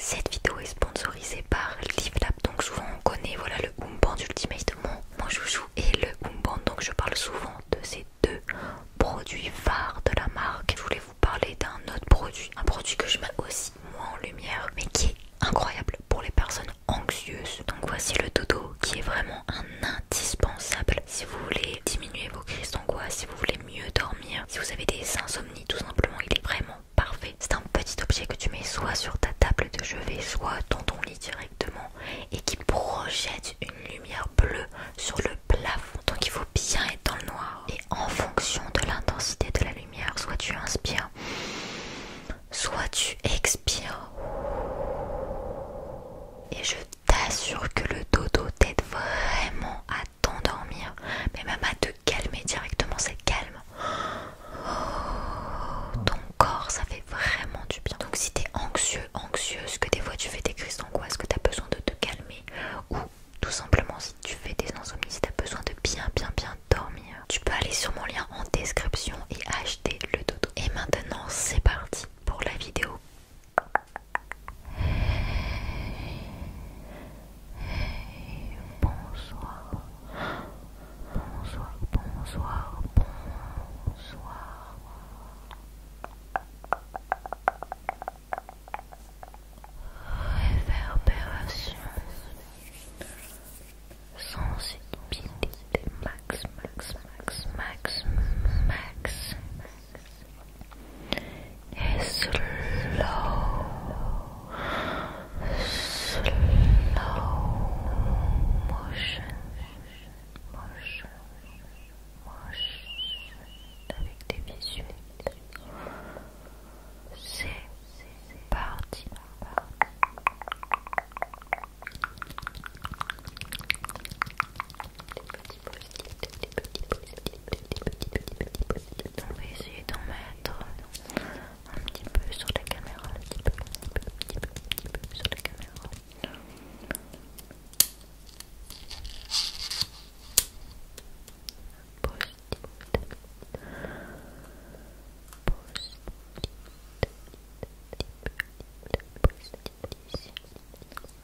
Cette vidéo est sponsorisée par Livlab donc souvent on connaît voilà, le Band Ultimate, mon, mon et le band donc je parle souvent de ces deux produits phares de la marque. Je voulais vous parler d'un autre produit, un produit que je mets aussi moins en lumière, mais qui est incroyable pour les personnes anxieuses. Donc voici le dodo qui est vraiment un indispensable si vous voulez diminuer vos crises d'angoisse, si vous voulez mieux dormir, si vous avez des insomnies tout simplement, il est vraiment parfait. C'est un petit objet que tu mets soit sur ta table de chevet, soit dans ton lit directement et qui projette une lumière bleue sur le plafond. Donc il faut bien être dans le noir. Et en fonction de l'intensité de la lumière, soit tu inspires, soit tu expires. Et je t'assure que le dodo t'aide vraiment à t'endormir, mais même à te calmer directement, c'est calme. Oh, ton corps, ça fait vraiment du bien. Donc si t'es anxieux, anxieuse, que des fois tu fais des crises d'angoisse, que t'as besoin de te calmer, ou tout simplement si tu fais des insomnies, si t'as besoin de bien, bien, bien dormir, tu peux aller sur mon lien en description et acheter le dodo. Et maintenant, c'est parti pour la vidéo. Hey, bonsoir. Bonsoir, bonsoir, bonsoir. Réverbération. Sensibilité max, max, max, max, max. Et slow, slow motion, motion, motion, avec des visuels. C'est parti. Des petits petits petits petits petits il est essayer d'en mettre un petit peu sur la caméra, un petit peu, un petit peu, un petit peu, sur la caméra.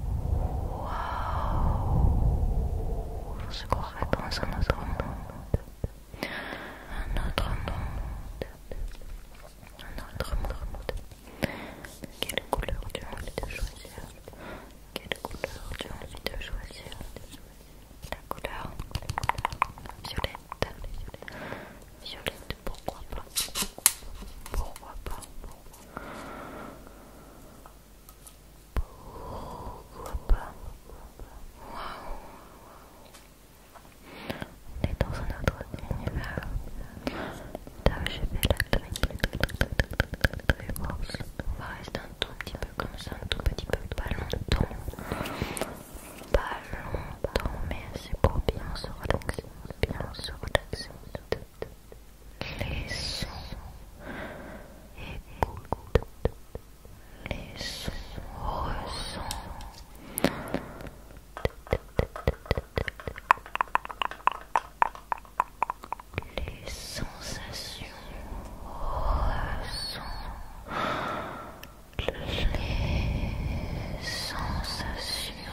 Wow. crois dans un autre monde. Un autre monde. Un autre monde. Quelle couleur tu as envie de choisir Quelle couleur tu as envie de choisir La couleur violette. Violette, pourquoi pas Pourquoi pas Dit was een uitdrukking ongeveer. Daar je weer lekker was. Waar is dan tout petit peu comme ça, un tout petit peu, pas longtemps. Pas longtemps, mais c'est pour bien se relaxer. Bien se relaxer. les sons écoute les sons ressent les sensations ressent les sensations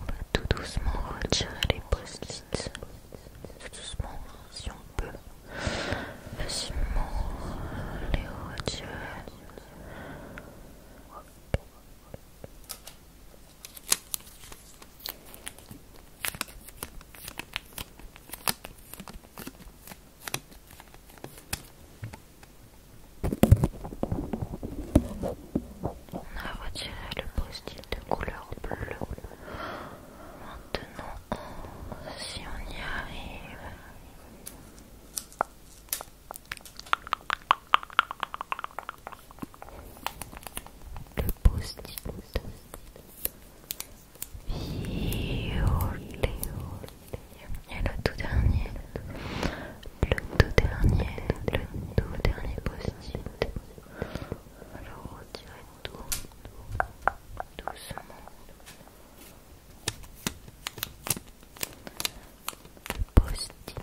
On va tout doucement retirer les post Tout doucement, si on peut. Facilement les retirer. On a retiré le post-it de couleur bleue. Maintenant, si on y arrive, le post-it violet. Et le tout dernier, le tout dernier, le tout dernier post-it. Alors retirez tout, doucement. Le post-it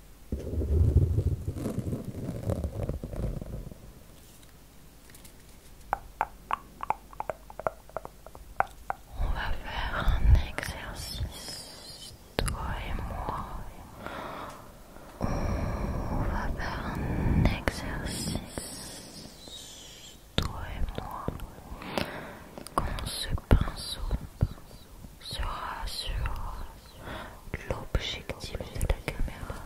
on va faire un exercice, toi et moi. On va faire un exercice, toi et moi. Quand ce pinceau sera sur l'objectif de ta caméra.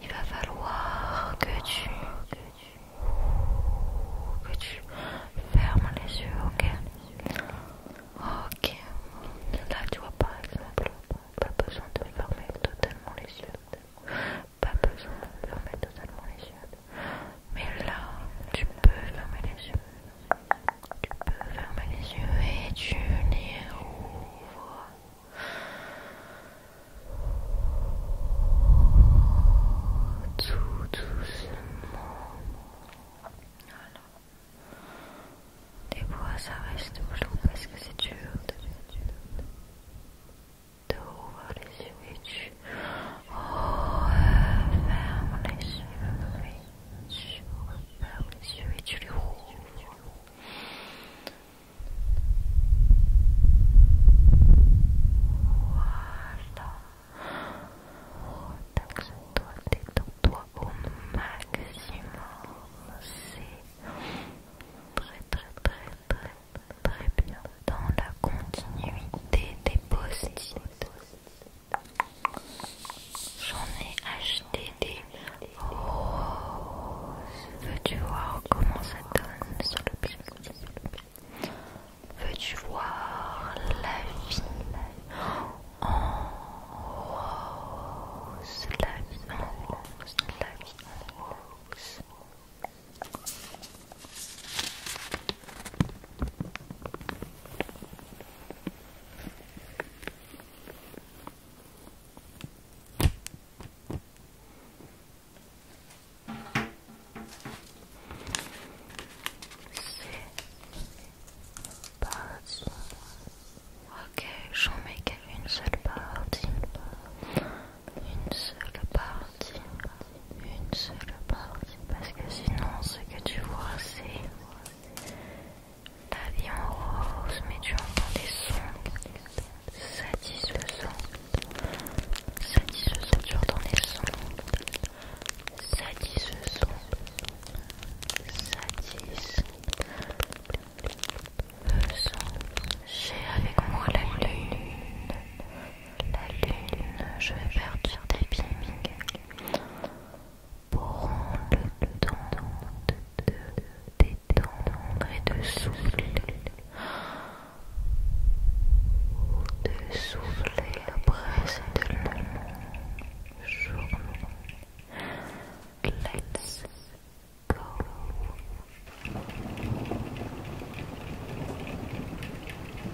Il va falloir que tu, que tu fermes les yeux, ok Ok. Là, tu vois par exemple, pas besoin de fermer totalement les yeux. Pas besoin de fermer totalement les yeux. Mais là, tu peux fermer les yeux. Tu peux fermer les yeux et tu les rouvres. Tout doucement. Alors Les ça reste flou parce que c'est dur, Tu ouvres les yeux et tu refermes les yeux. Tu les yeux et tu les roules. Voilà. toi détends-toi au maximum. C'est très, très, très, très, très bien. Dans la continuité des post J'en ai acheté des roses. Veux-tu voir comment ça donne sur le pied Veux-tu voir la vie en rose La vie en rose, la vie en rose. C'est pas Ok, j'en mets qu'une seule partie. Une seule partie. Une seule partie. Parce que sinon, ce que tu vois, c'est ta vie en rose, mais tu entends des sons ce son, tu entends des sons satisfaisants. son J'ai avec moi la lune. La lune, je vais faire des filming prends le temps de détendre et de souffler, de souffler long jour. Let's go.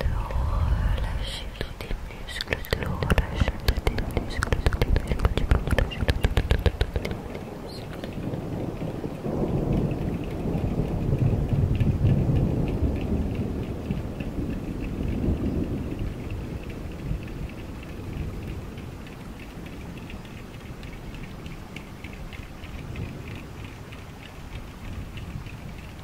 de relâcher tous tes muscles, tous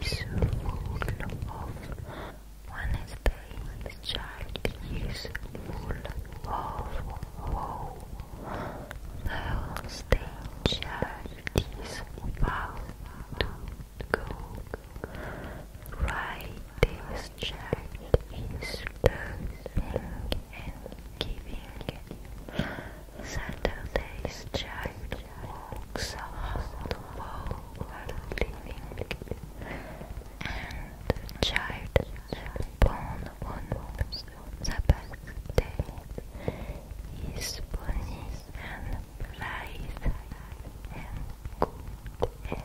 is full of Wednesday. The child is full of woe. The stage child is about to go. Right, this child is learning and giving. Saturdays child walks around the wall while and the child is born on the birthday is bonny and blithe and good and gay.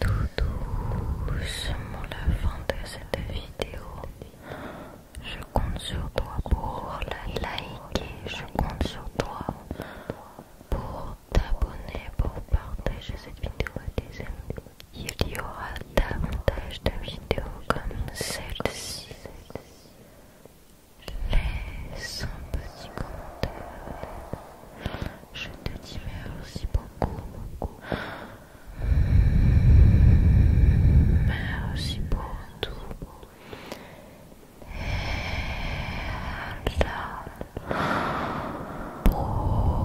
tout doucement la fin de cette vidéo. Je compte sur toi pour la liker, je compte sur toi pour t'abonner, pour partager cette vidéo à tes amis. Il y aura davantage de vidéos comme celle-ci. Laisse un petit commentaire. Je te dis merci beaucoup, beaucoup. Merci pour tout. Et à la prochaine.